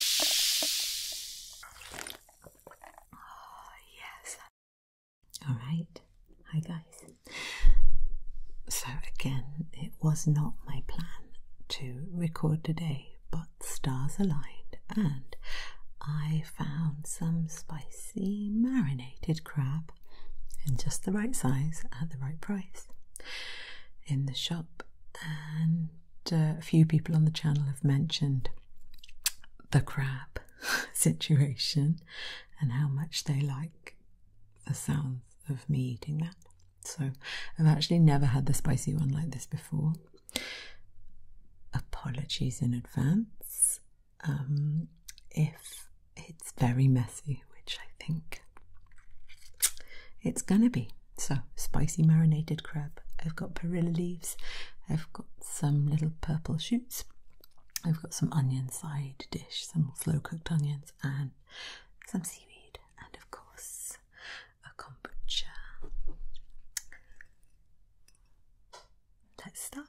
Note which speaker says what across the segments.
Speaker 1: Oh, yes. All right. Hi, guys. So, again, it was not my plan to record today, but stars aligned and I found some spicy marinated crab in just the right size at the right price in the shop and uh, a few people on the channel have mentioned the crab situation and how much they like the sound of me eating that. So I've actually never had the spicy one like this before. Apologies in advance um, if it's very messy, which I think it's gonna be. So, spicy marinated crab. I've got perilla leaves. I've got some little purple shoots. I've got some onion side dish, some slow cooked onions, and some seaweed, and of course, a kombucha. Let's start.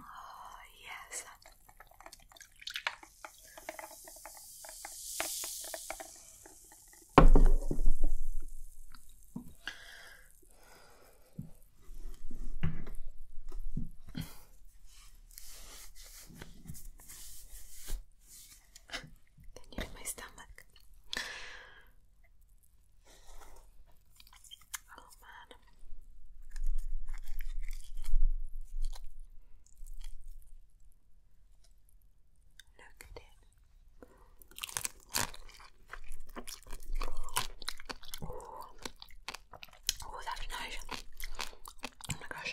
Speaker 1: Oh, yes. Can you hear my stomach? Oh man. Look at it. Oh, that's nice. Oh my gosh.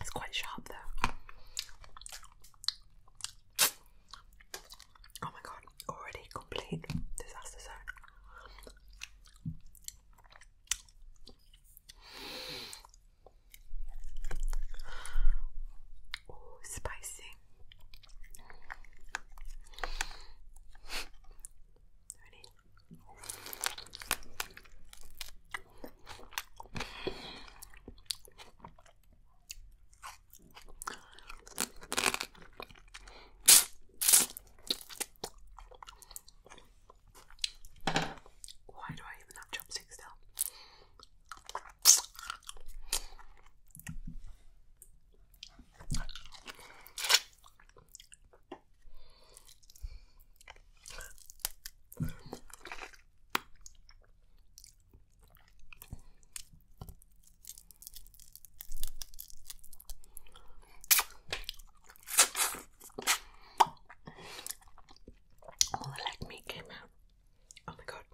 Speaker 1: It's quite sharp though. Oh my god, already complete disaster zone. Oh, spicy. Why do I even have chopsticks still? All the leg meat came out. Oh my god.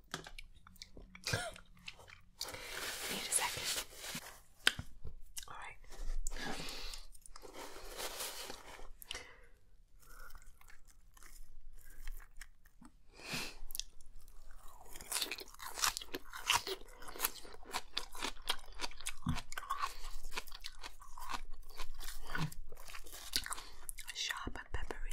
Speaker 1: Need a second. All right. Sharp and peppery.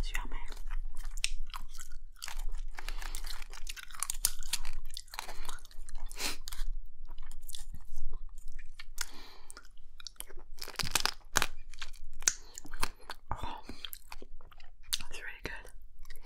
Speaker 1: Sur mer. Oh, it's really good.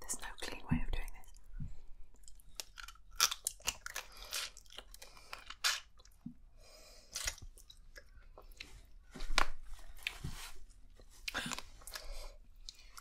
Speaker 1: There's no clean way of doing this.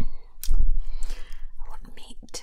Speaker 2: I want meat.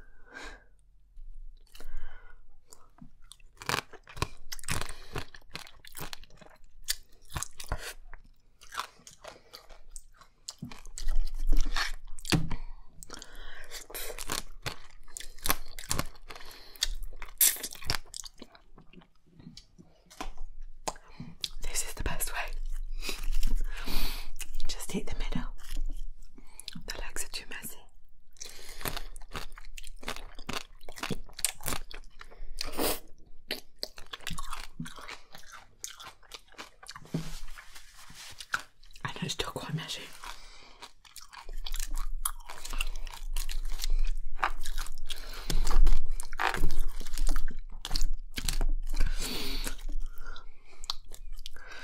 Speaker 2: This is the best way. Just hit the middle. Relax it, you messy. I it's still quite messy.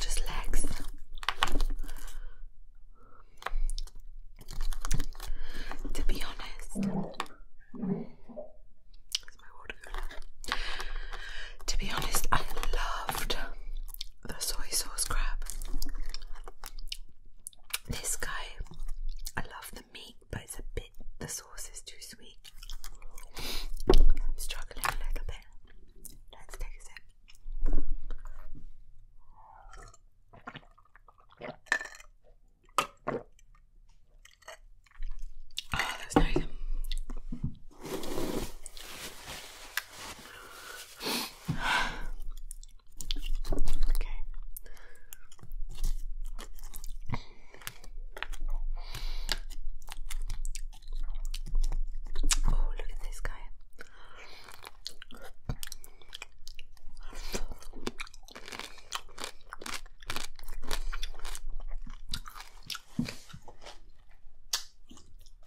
Speaker 2: just legs. To be honest, To be honest, I loved the soy sauce crab. This guy, I love the meat, but it's a bit, the sauce is too sweet. struggling a little bit. Let's take a sip. Oh, that's nice. Okay. Oh, look at this guy.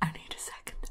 Speaker 2: I need a second.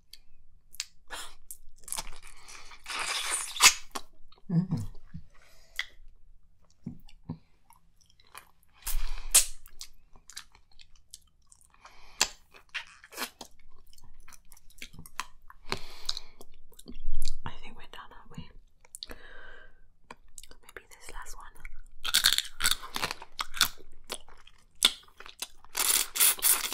Speaker 2: Mm. I think we're done, aren't we? Maybe this last one.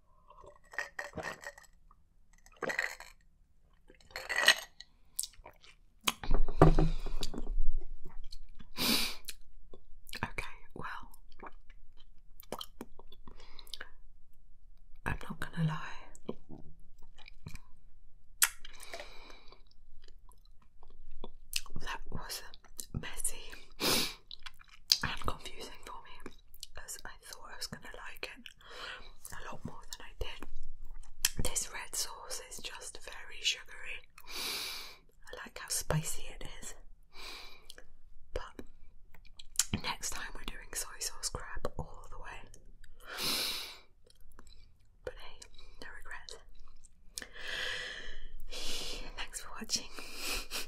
Speaker 2: Okay, well, I'm not going to lie. That was messy and for me because I thought I was going to like it a lot more than I did. This red sauce is just very sugary. I like how spicy it is. But next time we're doing soy sauce crab all the way. But hey, no regrets. Thanks for watching.